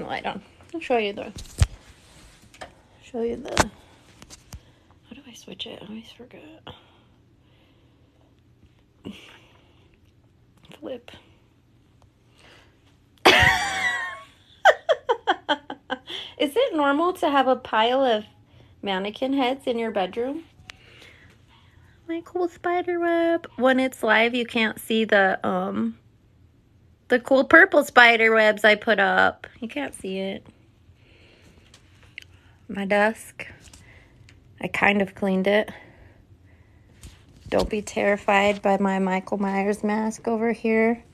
light on. I'll show you the show you the how do I switch it? I always forget. Flip. Is it normal to have a pile of mannequin heads in your bedroom? My cool spider web. When it's live, you can't see the um the cool purple spider webs I put up. You can't see it. My desk. I kind of cleaned it. Don't be terrified by my Michael Myers mask over here,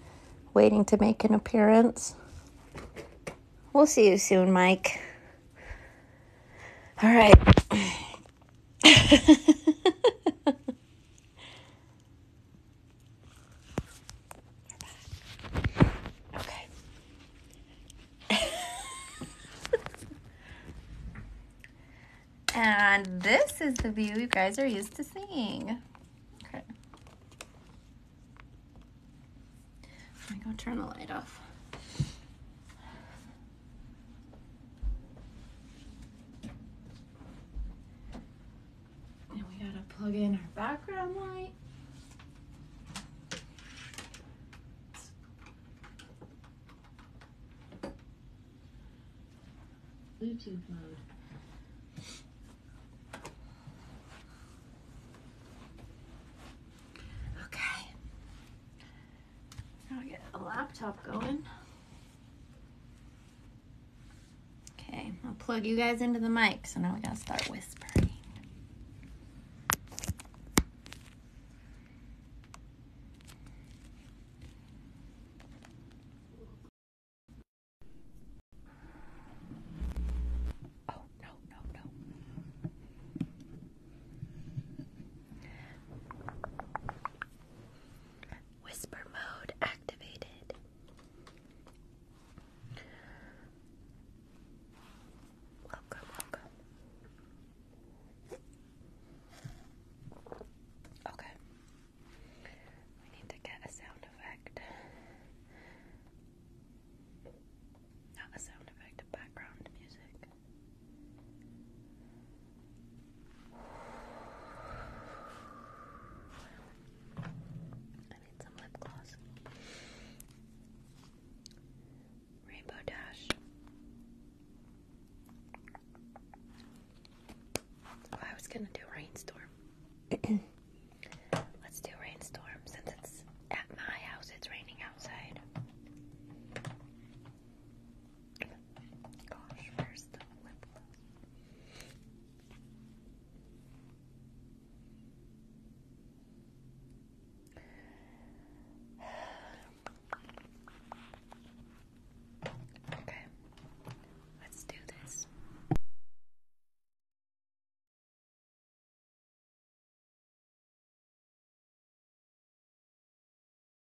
waiting to make an appearance. We'll see you soon, Mike. All right. Okay. and this is the view you guys are used to seeing. Okay. Let me go turn the light off. And we gotta plug in our background light. Bluetooth mode. Okay. Now we get a laptop going. Okay, I'll plug you guys into the mic. So now we gotta start whispering. Oh, no, no, no. Whisper mode activated. Welcome, welcome. Okay. We need to get a sound effect. Not a sound effect, a background music. I need some lip gloss. Rainbow Dash. Oh, I was gonna do rainstorm. Let's do rainstorm since it's at my house, it's raining outside. Gosh, where's the lip gloss? Okay, let's do this.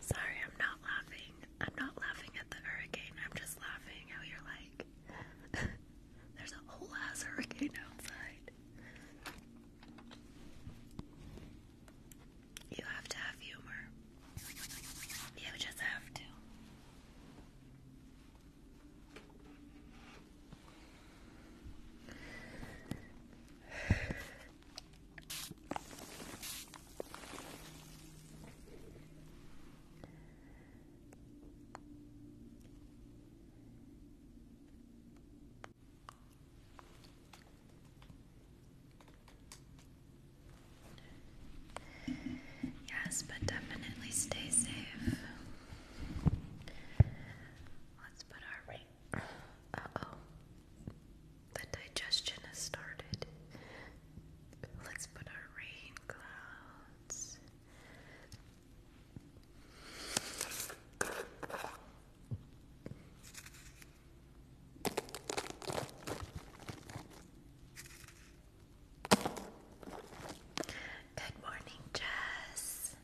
Sorry, I'm not laughing. I'm not laughing at the hurricane. I'm just laughing how you're like, there's a whole ass hurricane outside. You have to have humor. You just have to. Yes, but definitely stay safe. Let's put our ring. Uh oh. The digestion has started. Let's put our rain clouds. Good morning, Jess.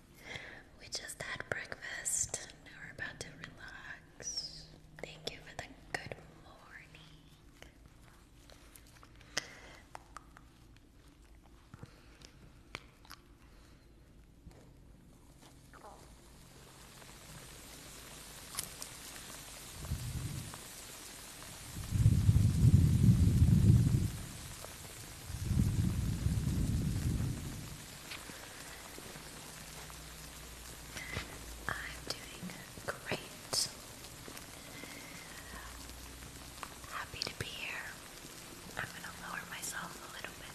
We just had breakfast. Now we're about to relax. Thank you for the good morning. I'm doing great. Happy to be here. I'm going to lower myself a little bit.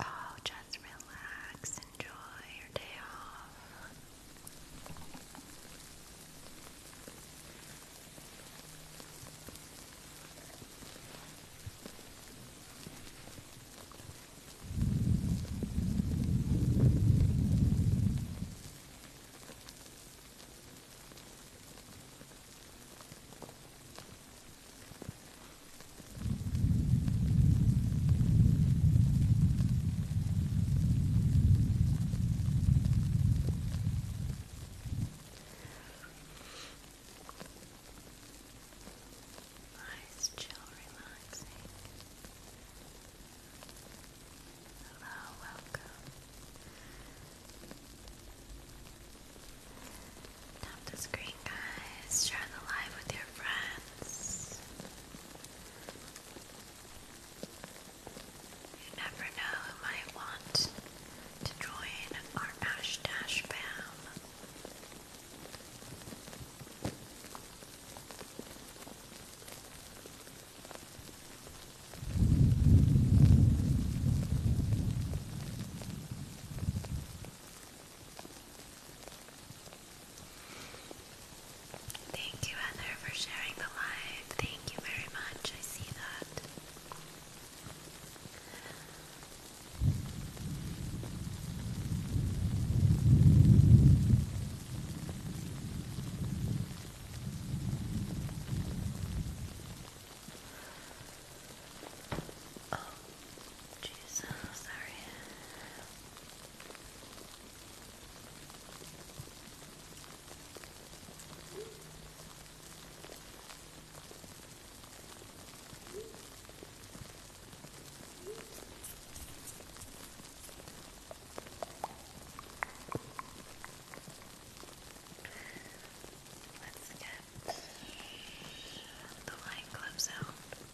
Oh, just relax, enjoy your day off. Nice, chill, relaxing. Hello, welcome. Tap screen like, guys. Share the live with your friends. You never know who might want to join our Ash Thank you, Heather, for sharing the live. Thank you very much. I see that. Oh, Jesus, sorry. Let's get the line clips out.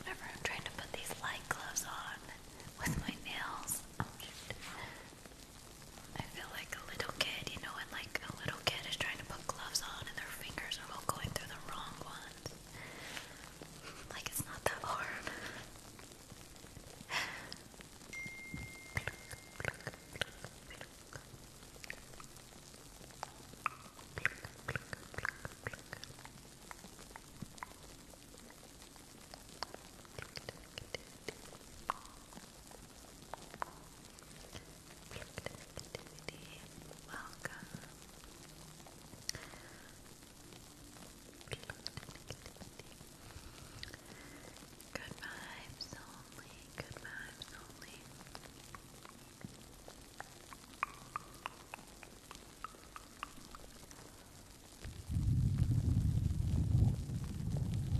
Whenever I'm trying to put these light gloves on with my nails, oh shit. I feel like a little kid, you know, when like a little kid is trying to put gloves on and their fingers are all going through the wrong ones. Like it's not that hard. Connectivity, welcome. Good vibes only, good vibes only.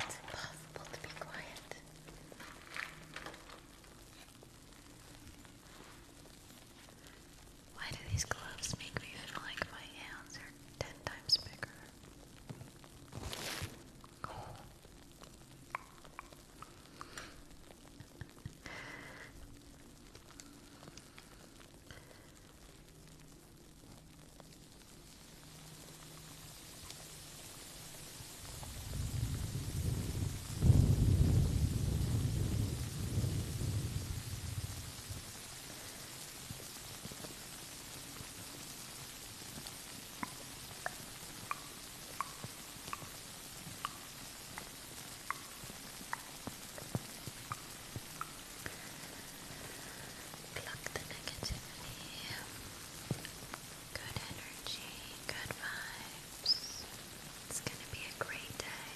It's impossible to be quiet. Why do these gloves make me feel like my hands are ten times bigger? Pluck the negativity Good energy, good vibes. It's going to be a great day.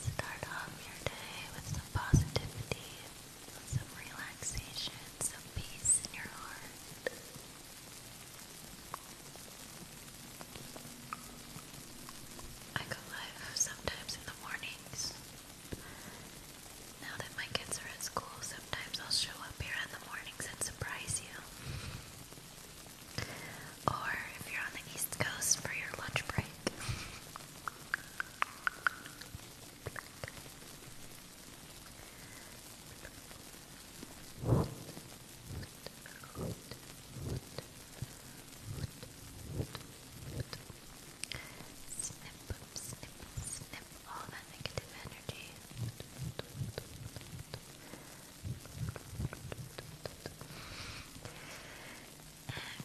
Start off your day with some positivity some relaxation, some peace in your heart. I go live sometimes in the mornings. Now that my kids are at school, sometimes I'll show up here in the mornings and surprise you. Or if you're on the East Coast for your lunch break. Snip, snip, snip all that negative energy. And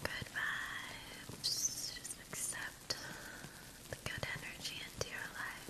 good vibes. Just accept the good energy into your life.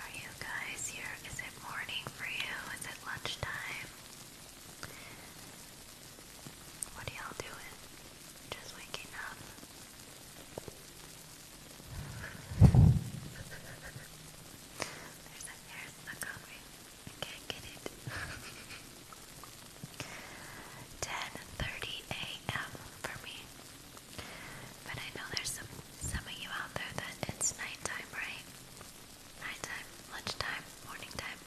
Are you guys here? Is it morning for you? Is it lunchtime? What are y'all doing? Just waking up. there's a there's the coffee. I can't get it. 10:30 a.m. for me. But I know there's some some of you out there that it's nighttime, right? Nighttime, lunchtime, morning time.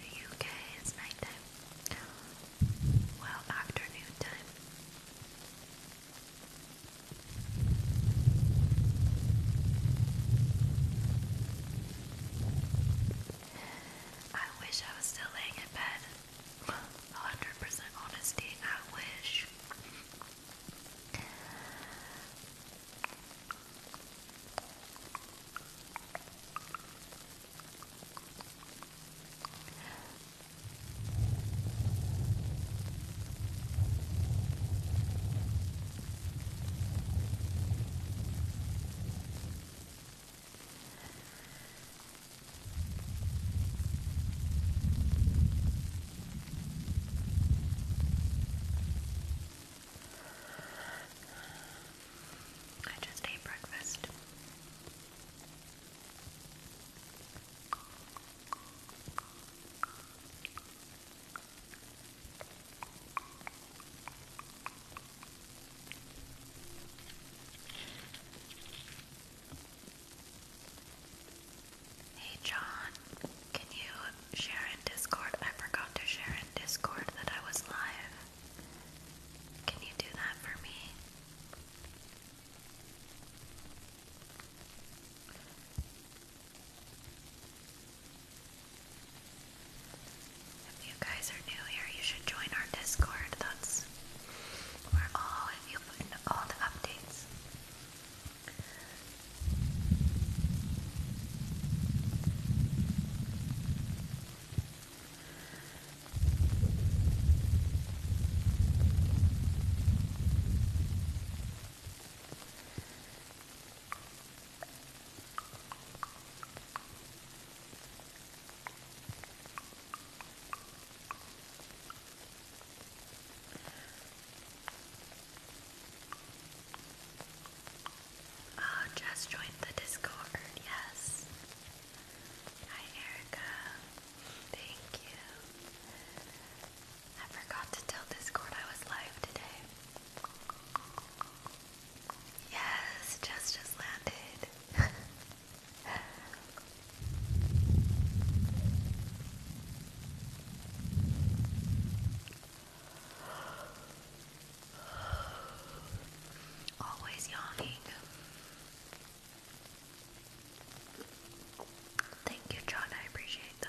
The UK is nighttime. Well, afternoon time. I wish I was still laying in bed. 100% honesty, I wish. I just ate breakfast. Hey John, can you share in Discord? I forgot to share in Discord that I was live. Can you do that for me? If you guys are new here, you should join our Discord. That's where all of the updates. Oh, just joined the Discord, yes. Hi, Erica. Thank you. I forgot to tell Discord I was live today. Yes, just landed. Always yawning. Thank you, John. I appreciate that.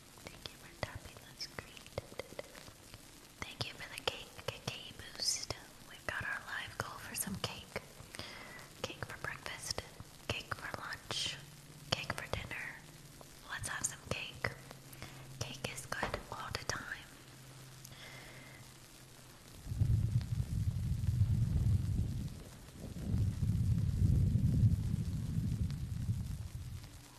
Thank you for tapping the screen. Thank you for the cake, cake boost. We've got our live goal for some cake. Cake for breakfast, cake for lunch, cake for dinner. Let's have some cake. Cake is good all the time.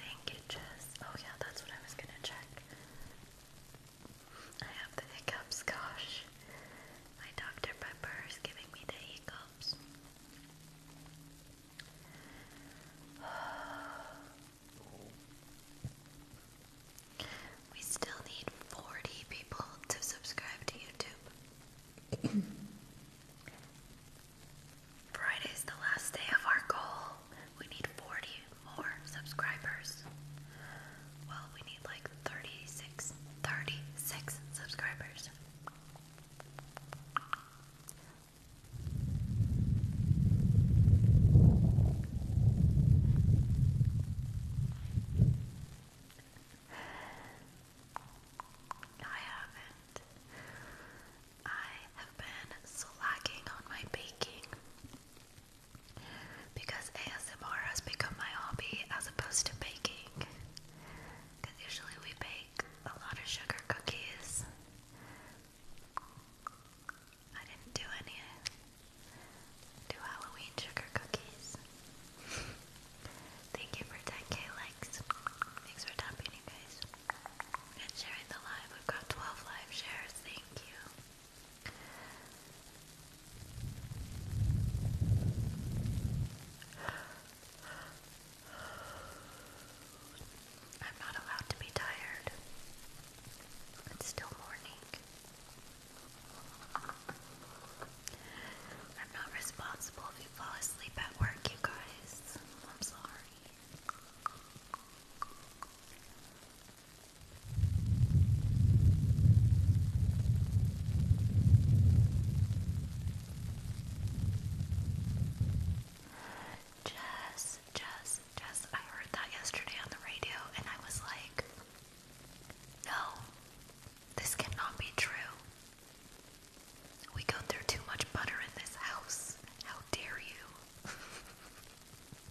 handkerchiefs. Oh yeah, that's what I was gonna check. I have the hiccups, gosh. My Dr. Pepper is giving me the hiccups. We still need 40 people to subscribe to YouTube. Friday's the last day of our goal. We need 40 more subscribers. Well, we need like 36, subscribers. I haven't. I have been slacking on my baking because ASMR has become my hobby as opposed to baking. Because usually we bake a lot of sugar cookies. I didn't do any. Do Halloween sugar cookies. Thank you for 10k likes. Thanks for tapping, you guys and sharing the live. We've got 12 live shares. Thank you. I'm not allowed to be tired. It's still morning. I'm not responsible if you fall asleep at work, you guys. I'm sorry. Jess, Jess, Jess, I heard that yesterday on the radio and I was like, no, this cannot be true. We go through too much butter in this house. How dare you?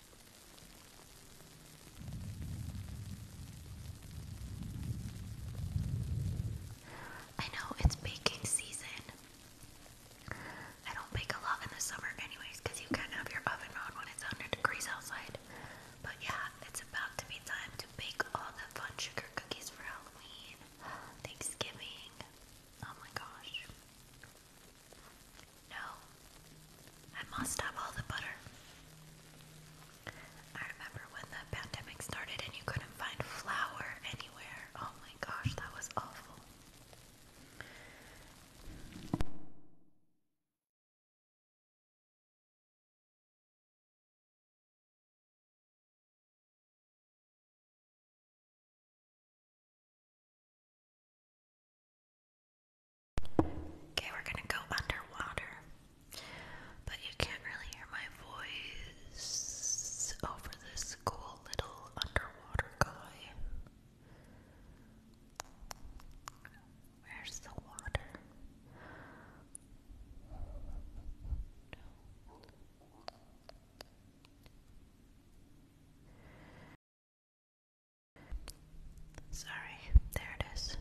I know it's baking season. I don't bake a lot in the summer, anyways, because you can't have your oven on when it's 100 degrees outside. But yeah, it's about to be time to bake all the fun sugar cookies for Halloween, Thanksgiving. Oh my gosh. No, I must have all the butter. I remember when the pandemic started and you couldn't find flour anywhere. Oh my gosh, that was awful. Okay, we're gonna go underwater, but you can't really hear my voice over this cool little underwater guy. Where's the water? Sorry, there it is.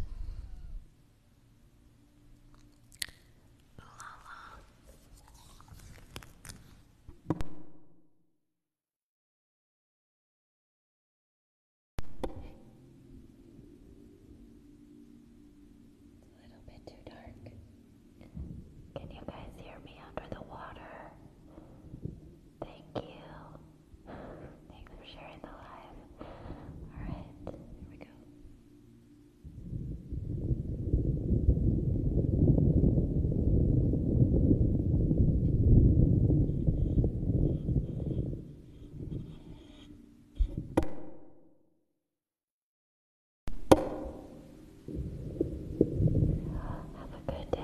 A little bit too dark. Can you guys hear me under the water? Thank you. Thanks for sharing the live. Alright, here we go have a good day.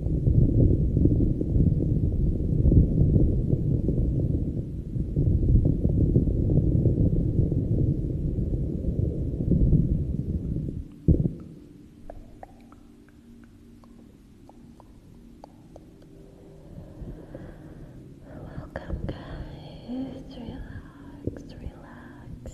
Welcome, guys. Relax, relax.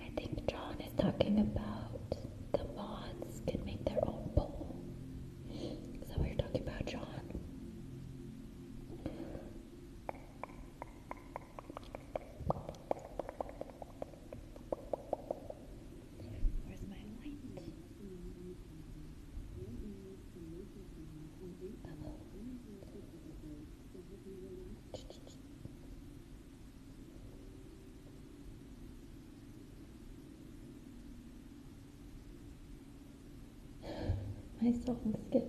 I think John is talking about the moths can make their own bowl. Is you're talking about, John? Where's my light? Hello. My song skipped.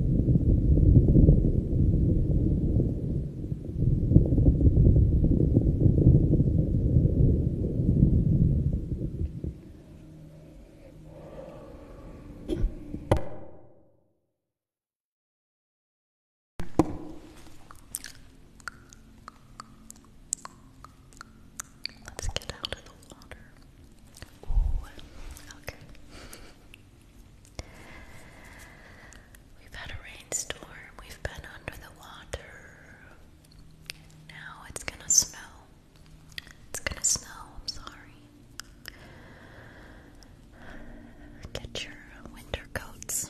Let's get out of the water. Ooh, okay. We've had a rainstorm, we've been under the water. Now it's gonna snow. It's gonna snow, I'm sorry. Get your winter coats.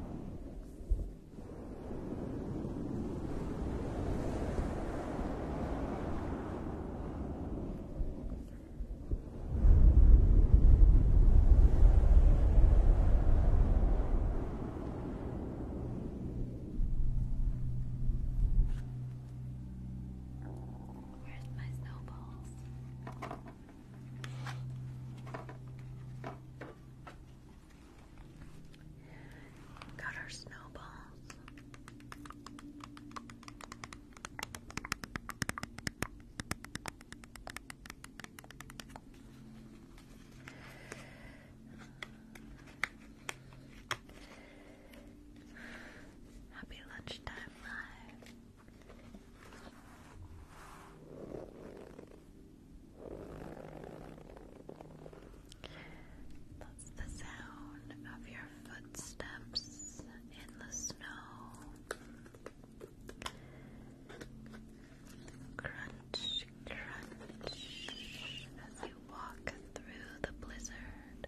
Where's my snowballs? Got our snowballs. Happy lunchtime live. That's the sound of your footsteps in the snow. Crunch, crunch as you walk through the blizzard.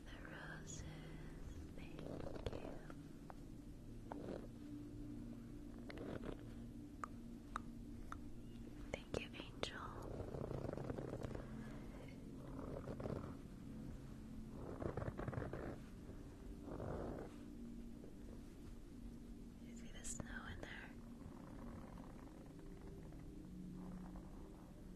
Thank you. Thank you, Angel. You see the snow in there?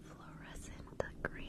fluorescent green.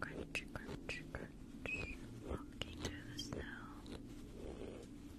Crunch, crunch, crunch. Walking through the snow.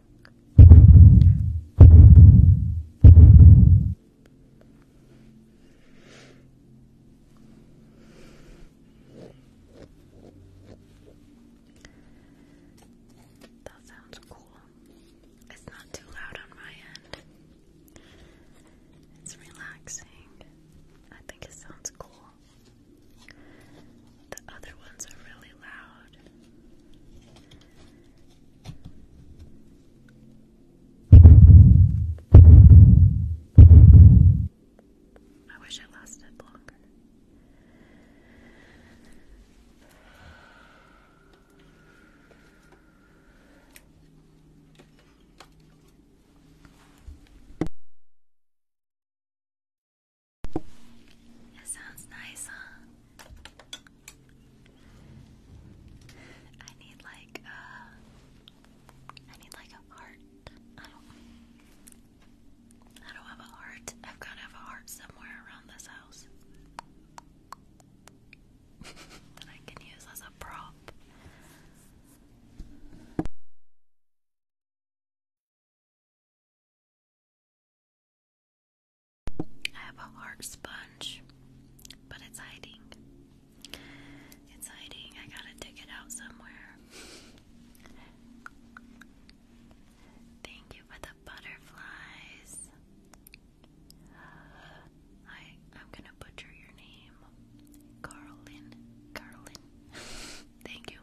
That sounds cool. It's not too loud on my end. It's relaxing. I think it sounds cool. The other ones are really loud. I wish it lasted longer. It sounds nice, huh? I need like a, uh, I need like a heart. I don't, I don't have a heart. I've got to have a heart somewhere around this house. that I can use as a prop. I have a heart sponge, but it's hiding. It's hiding. I gotta dig it out somewhere. Thank you for the butterflies. I I'm gonna butcher your name. Carlin. Carlin. Thank you.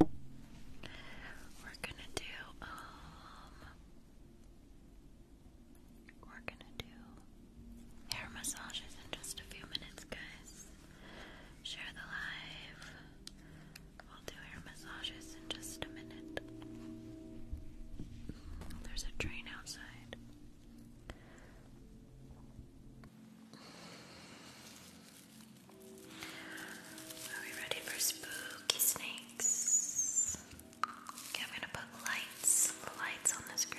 We're gonna do, um, we're gonna do hair massages in just a few minutes, guys. Share the live. We'll do hair massages in just a minute. There's a train outside. Are we ready for spooky snakes? I'm gonna put lights, lights on the screen.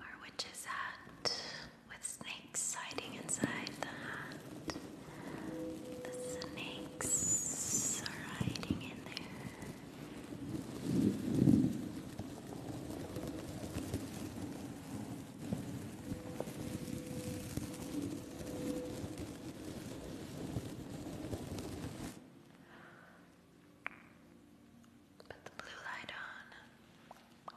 Our witch's hat with snakes hiding inside the hat. The snakes are hiding in there. Put the blue light on. Good.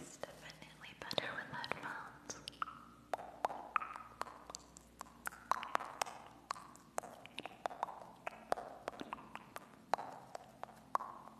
It's definitely better with headphones. Thank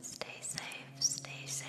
Stay safe, stay safe.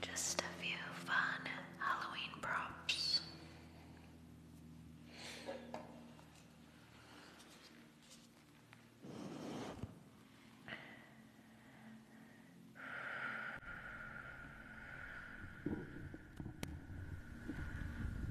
Just a few fun Halloween props.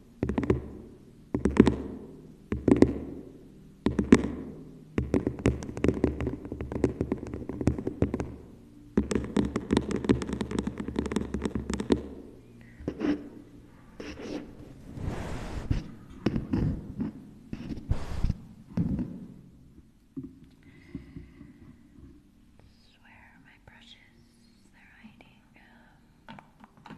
Swear my brushes, they're hiding. Um,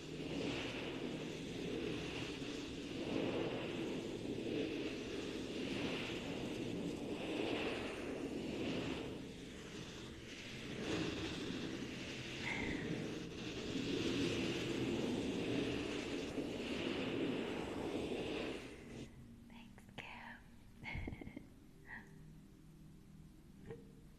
Thanks, Kim.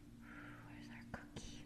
Where's our cookie?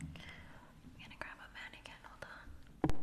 I'm gonna grab a mannequin, hold on.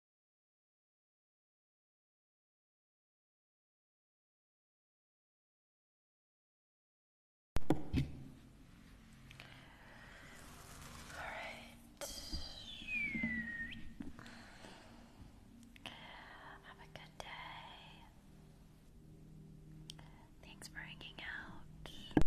Alright. Have a good day. Thanks for hanging out.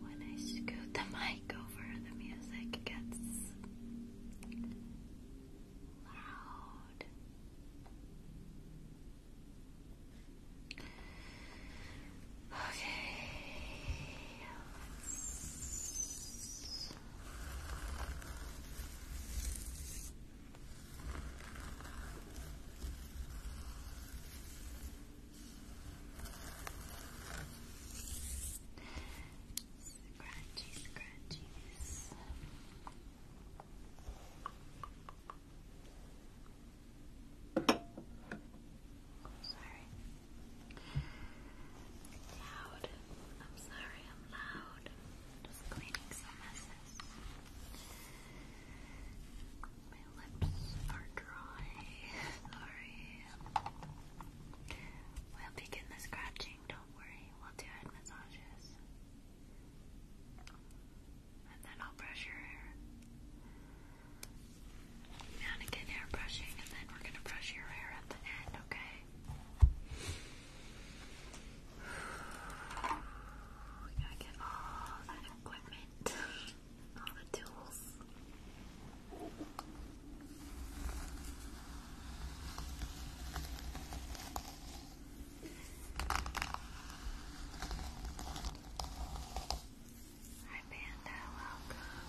When I scoot the mic over, the music gets loud. Okay. Scratchy, scratchies. Sorry. Loud. I'm sorry I'm loud. Just cleaning some messes. My lips are dry. Sorry. We'll begin the scratching, don't worry. We'll do head massages. And then I'll brush your hair. Mannequin hair brushing, and then we're gonna brush your hair at the end, okay? We gotta get all that equipment, all the tools. Hi Panda, welcome.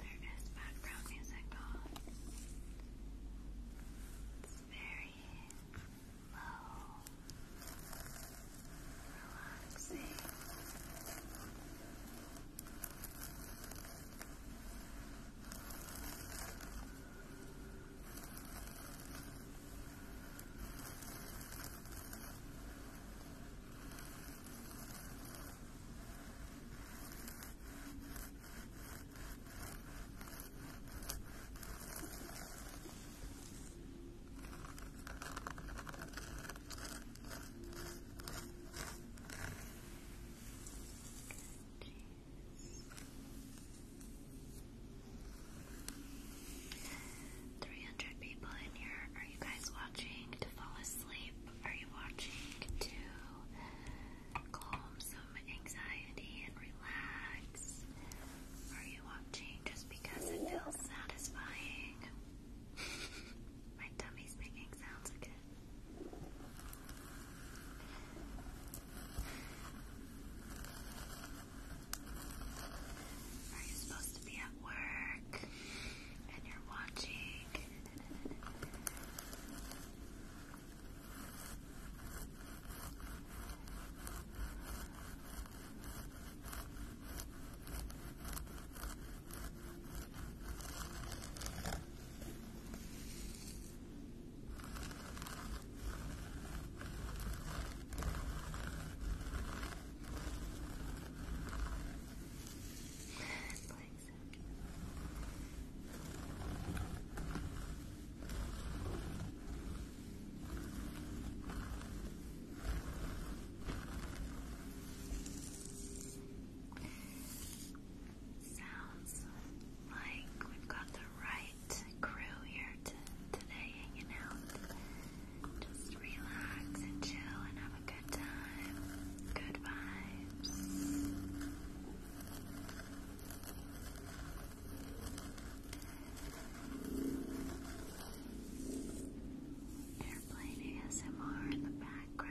There is background music on. It's very low, relaxing. Three hundred people in here are you guys watching to fall asleep? Are you watching to calm some anxiety and relax? Are you watching just because it feels satisfying? My tummy's making sounds again. Are you supposed to be at work and you're watching? like so. Sounds like we've got the right crew here today hanging out. Just relax and chill and have a good time. Good vibes. they ASMR in the background.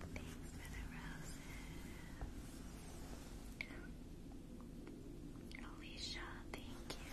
Thanks for the roses. Alicia, thank you.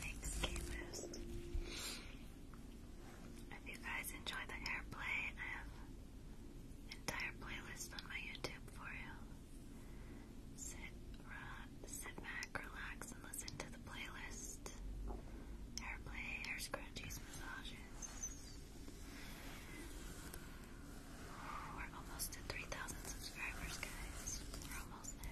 Thanks, gamers. If you guys enjoy the airplay, I have entire playlist on my YouTube for you. Sit, uh, sit back, relax, and listen to the playlist. Airplay, air scrunchies, massages. We're almost at 3,000 subscribers, guys. We're almost there.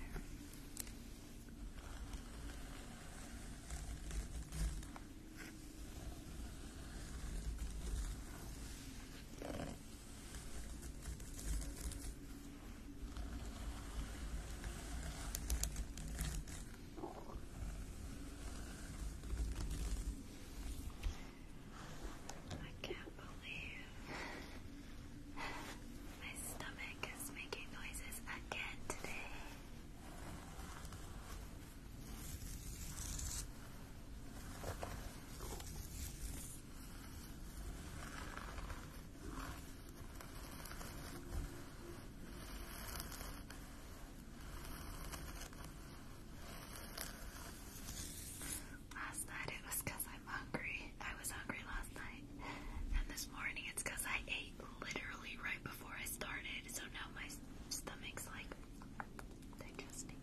I can't believe my stomach is making noises again today. Last night it was I'm hungry. I was hungry last night. And this morning it's because I ate literally right before I started. So now my stomach's like digesting.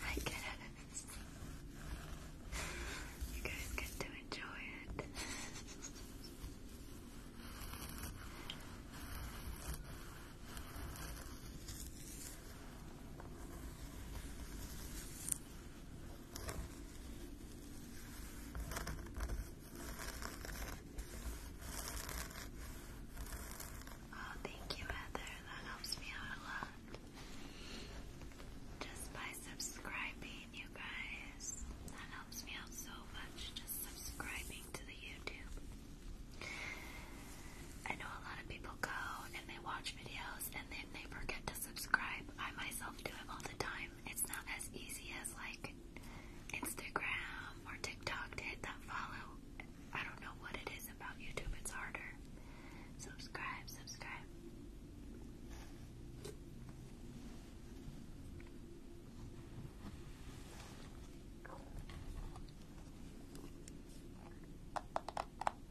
I get out of this. You guys to enjoy it. Oh, thank you, Heather. That helps me out a lot. Just by subscribing, you guys. That helps me out so much. Just subscribing to the YouTube. I know a lot of people go and they watch watch videos and then they forget to subscribe. I myself do it all the time. It's not as easy as like Instagram or TikTok to hit that follow. I don't know what it is about YouTube, it's harder. Subscribe, subscribe.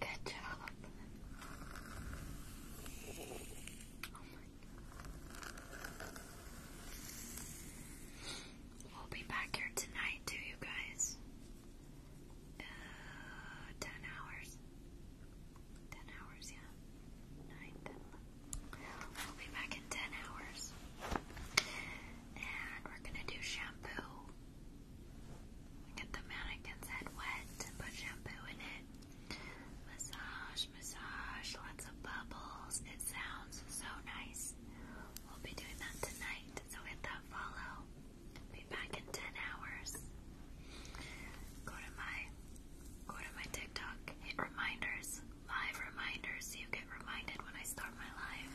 Good job. We'll be back here tonight, too, you guys. Uh, 10 hours. 10 hours, yeah. 9, We'll be back in 10 hours. And we're gonna do shampoo. get the mannequin's head wet, put shampoo in it. Massage, massage, lots of bubbles. It sounds so nice. We'll be doing that tonight, so hit that follow. Be back in 10 hours. Go to my go to my TikTok, hit reminders live reminders so you get reminded when I start my live.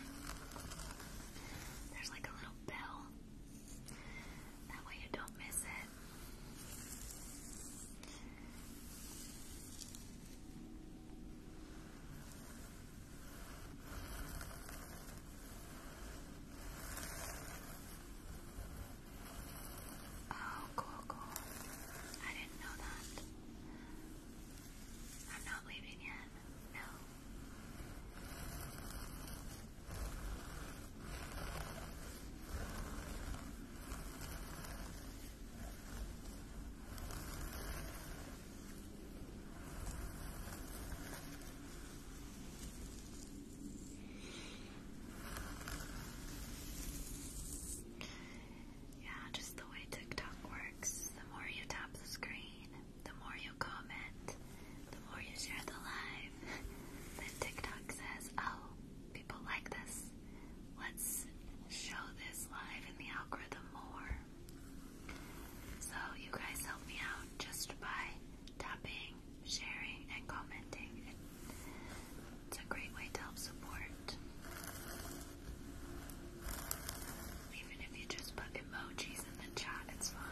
There's like a little bell. That way you don't miss it. Oh, cool, cool. I didn't know that. I'm not leaving yet. No. Yeah, just the way TikTok works. The more you tap the screen, the more you comment, the more you share the live. then TikTok says, oh, people like this. Let's show this live in the algorithm more. So you guys help me out just by tapping, sharing, and commenting. It it's a great way to help support. Even if you just put emojis in the chat, it's fine.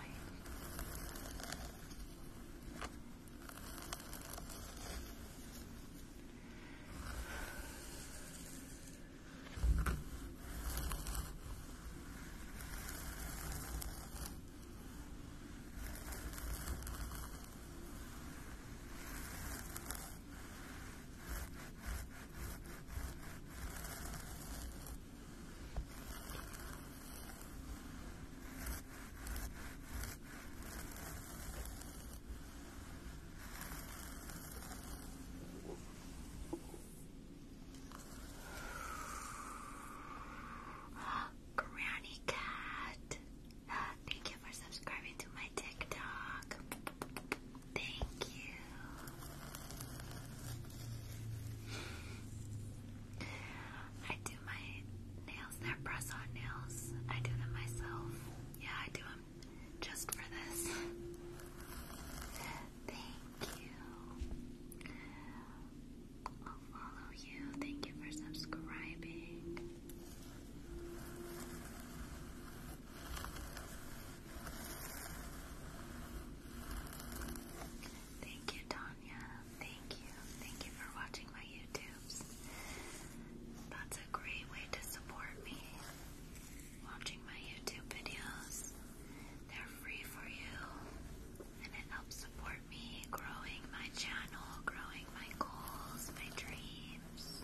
Granny Cat. Thank you for subscribing to my TikTok. Thank you. I do my nails, they press on nails. I do them myself. Yeah, I do them just for this. Thank you. I'll follow you. Thank you for subscribing. Thank you, Tanya. Thank you. Thank you for watching my YouTubes. That's a great way to support me. Watching my YouTube videos. They're free for you. And it helps support me growing my channel, growing my goals, my dreams.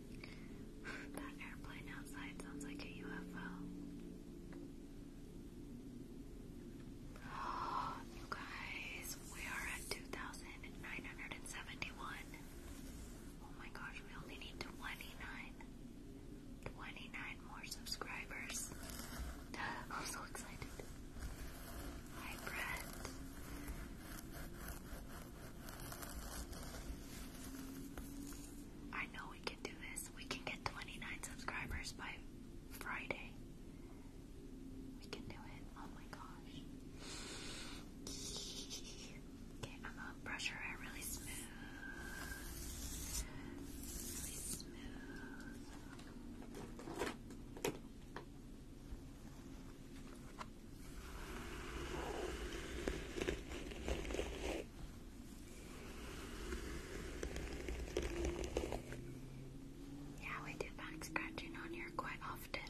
that airplane outside sounds like a UFO. you guys, we are at 2,971. Oh my gosh, we only need 29. 29 more subscribers. I'm so excited. Hi, Brett. I know we can do this. We can get 29 subscribers by Friday. We can do it. Oh my gosh. Okay, I'm gonna brush her hair really smooth. Really smooth. Yeah, we do find scratching on here quite often.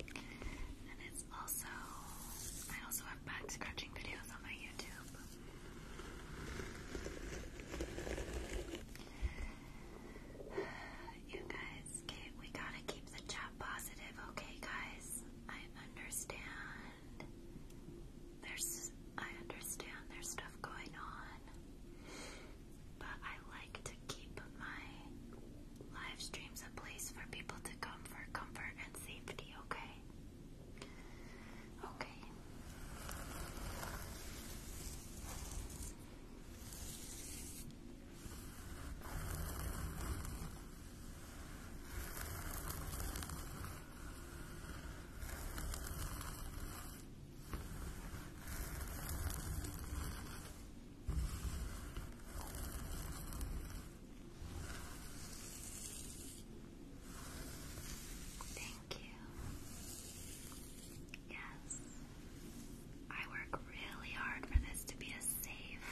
And it's also, I also have back scratching videos on my YouTube. You guys Okay, we gotta keep the chat positive, okay, guys? I understand. There's, I understand there's stuff going on, but I like to keep my live streams a place for people to come for comfort and safety, okay? Okay. Thank you. Yes. I work really hard for this to be a safe,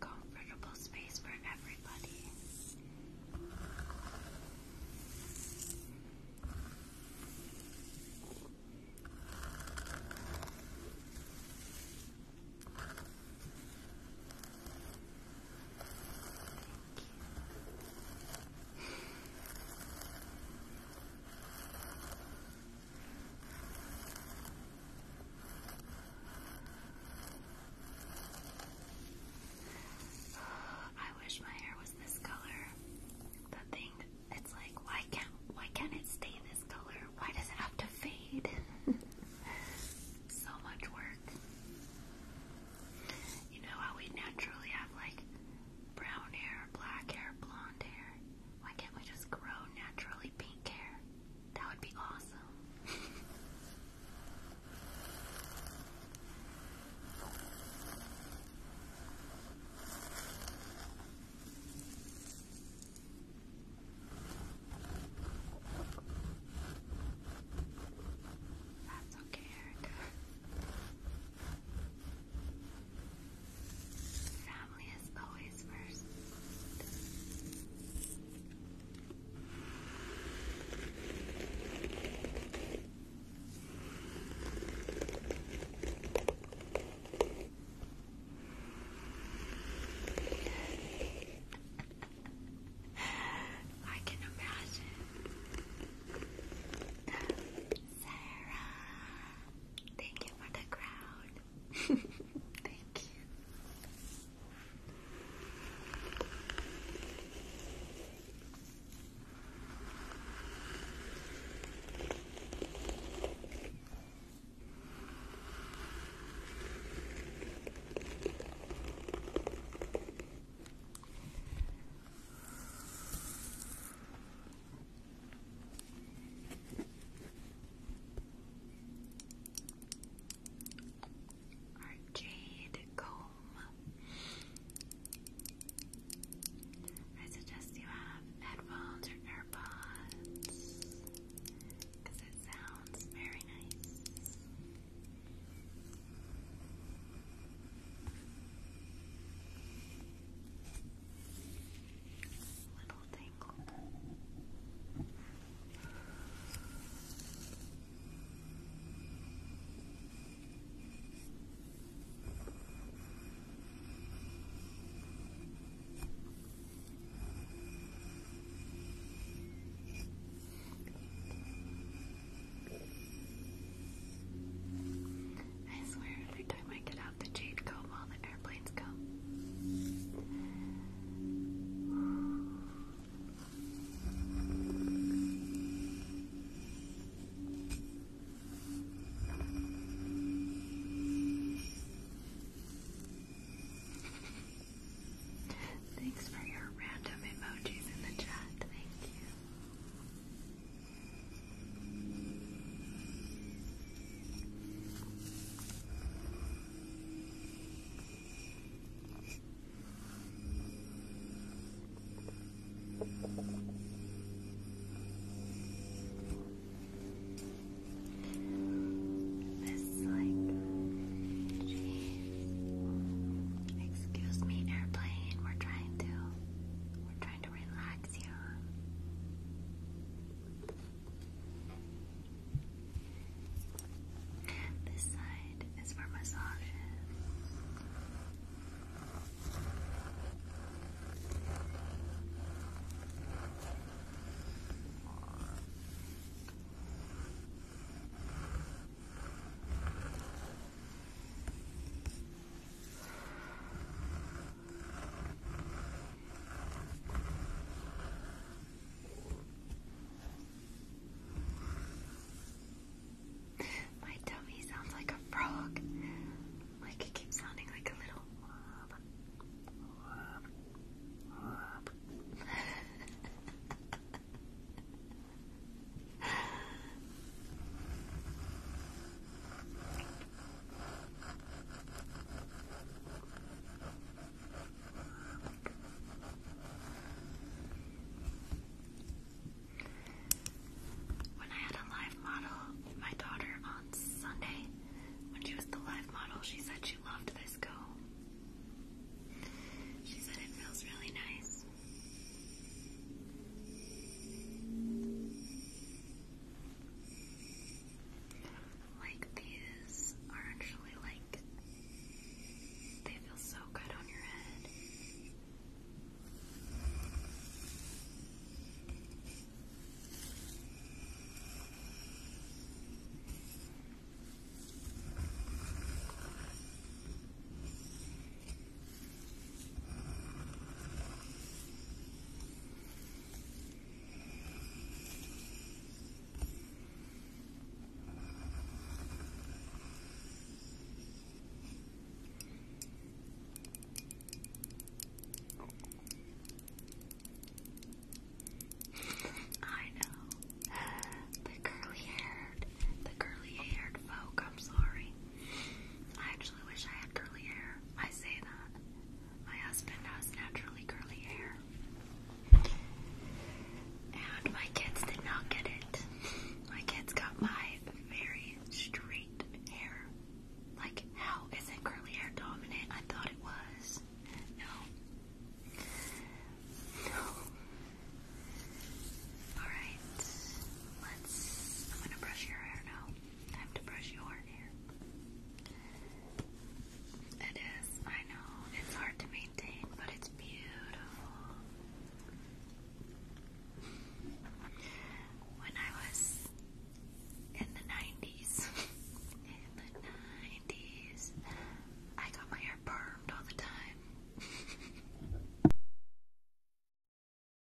comfortable space for everybody. Thank you. I wish my hair was this color. The thing, it's like, why can't why can't it stay this color? Why does it have to fade? so much work. You know how we naturally have like brown hair, black hair, blonde hair. Why can't we just grow naturally pink hair? That would be awesome. That's okay, Family is always first. I can imagine. Sarah. Thank you for the crowd. Thank you. Our jade comb. I suggest you have headphones or AirPods it sounds very nice. I swear, every time I get out the jade comb, all Thanks for your random emojis in the chat. Thank you. This like, excuse me, airplane. We're trying to, we're trying to relax you. This side is for massages. This my tummy sounds like a frog. Like it keeps sounding like a little. When I had a live model, my daughter on Sunday, when she was the live model, she said she loved this go. She said it feels really nice. Like these are actually like they feel so good on your head. I know. The curly haired, the curly haired folk, I'm sorry. I actually wish I had curly hair. I say that. My husband has naturally curly hair. And my kids did not get it. My kids got my very straight hair. Like, how isn't curly hair dominant? I thought it was. No. No. Alright. Let's. I'm gonna brush your hair now. Time to brush your hair. It is, I know, it's hard to maintain, but it's beautiful. When I was in the 90s, in the 90s, I got my hair permed all the time.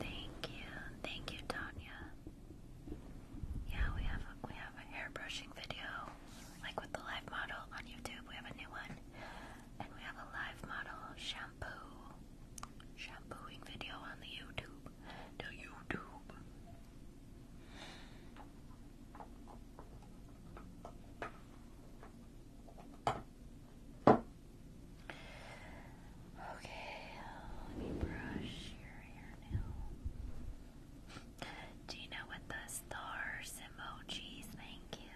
Thank you, thank you, Tanya. Yeah, we have we have a hair brushing video, like with the live model on YouTube. We have a new one and we have a live model shampoo shampooing video on the YouTube. The YouTube. Okay, let me brush your hair now. Do you know what the stars emojis? Thank you.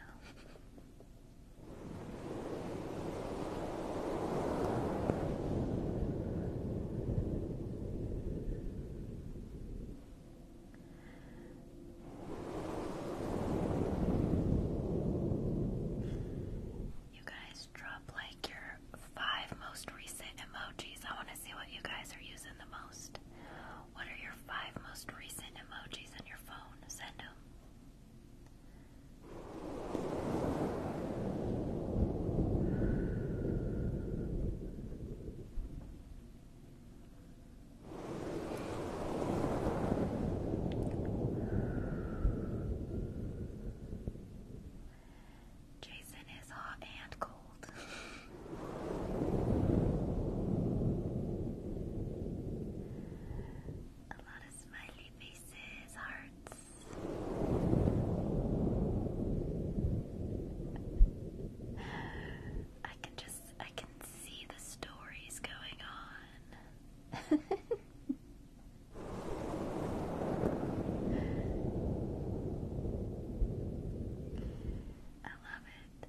You guys drop like your five most recent emojis. I want to see what you guys are using the most. What are your five most recent emojis on your phone? Send them. Jason is hot and cold. A lot of smiley faces, hearts. I can just, I can see the stories going on. I love it.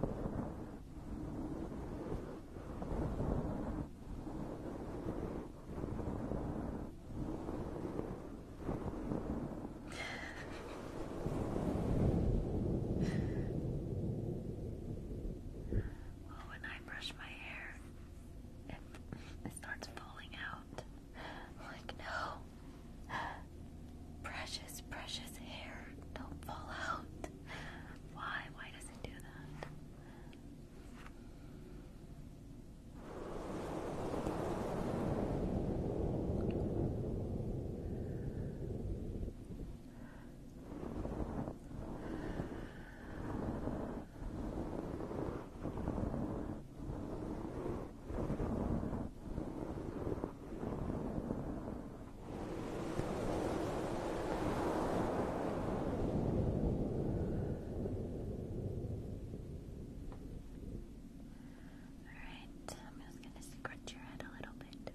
well, when I brush my hair, it, starts falling out. like, no, Precious, precious hair. Don't fall out. Why? Why does it do that? Alright, I'm just going to scratch your head a little bit. Good.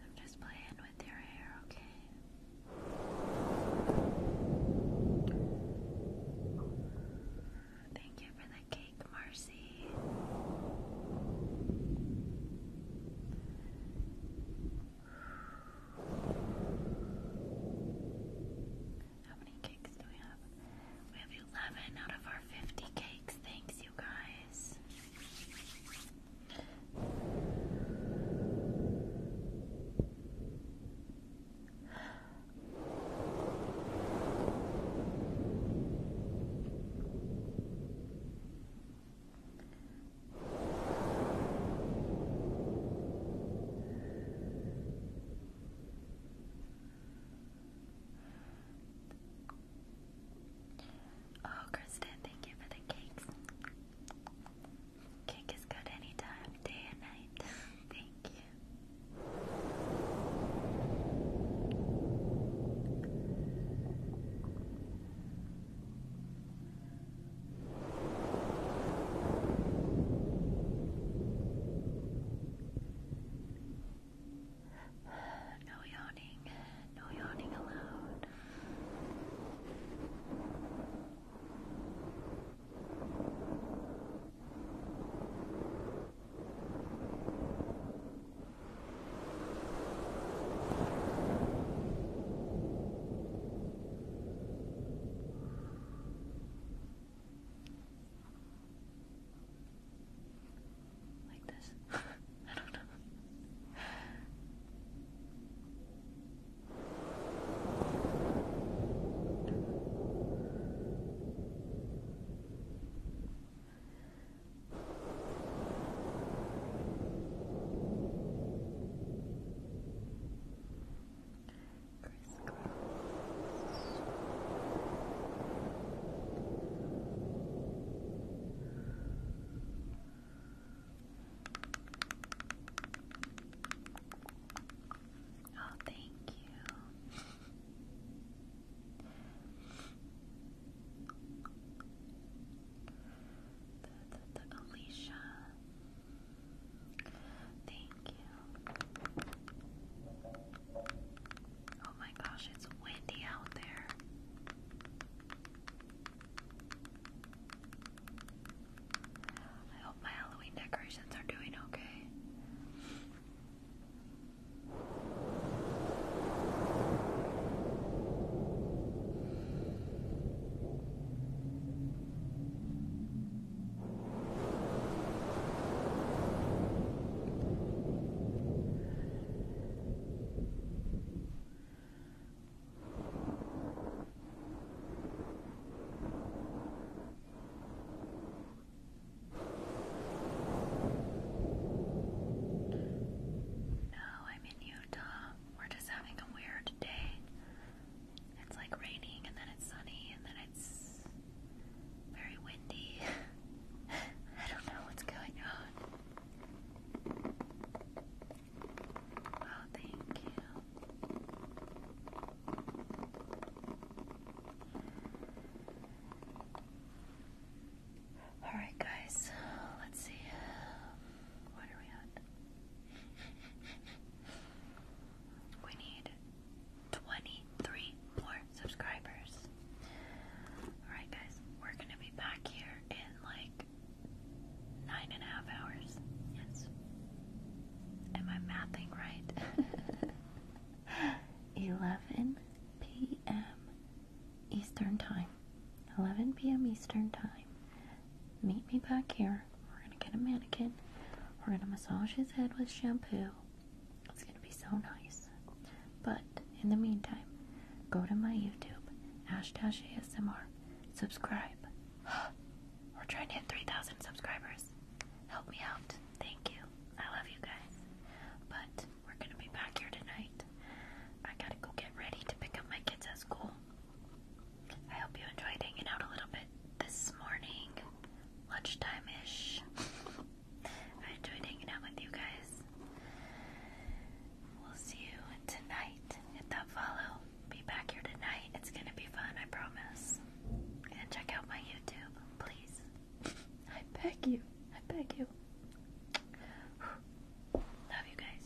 I'm just playing with your hair, okay? Thank you for the cake, Marcy. How many cakes do we have? We have 11 out of our 50 cakes. Thanks, you guys. Oh, Kristen, thank you for the cakes. Cake is good anytime, day and night. thank you. No yawning, no yawning allowed. Good. Like this? I don't know. Oh, thank you. the, the, Alicia. Thank you. Oh my gosh, it's windy out there. I hope my Halloween decorations are doing okay. Now I'm in Utah. We're just having a weird day it's like raining and then it's sunny and then it's very windy. I don't know what's going on. Oh, thank you. Alright, guys, let's see. What are we at? we need 23 more subscribers. Alright, guys, we're gonna be back here in like nine and a half hours. Yes. Am I mathing right? 11 p.m. Eastern Time. 11 p.m. Eastern Time. Meet me back here we're gonna get a mannequin. We're gonna massage his head with shampoo. It's gonna be so nice. But in the meantime, go to my YouTube, Ash subscribe. We're trying to hit 3,000 subscribers. Help me out. Thank you. I love you guys. But we're gonna be back here tonight. I gotta go get ready to pick up my kids at school. I hope you enjoyed hanging out a little bit this morning, lunchtime ish. I enjoyed hanging out with you guys. We'll see you tonight. Hit that follow. Be back here tonight. It's gonna be fun, I promise. And check out my YouTube, please. I beg you. I beg you. Love you guys.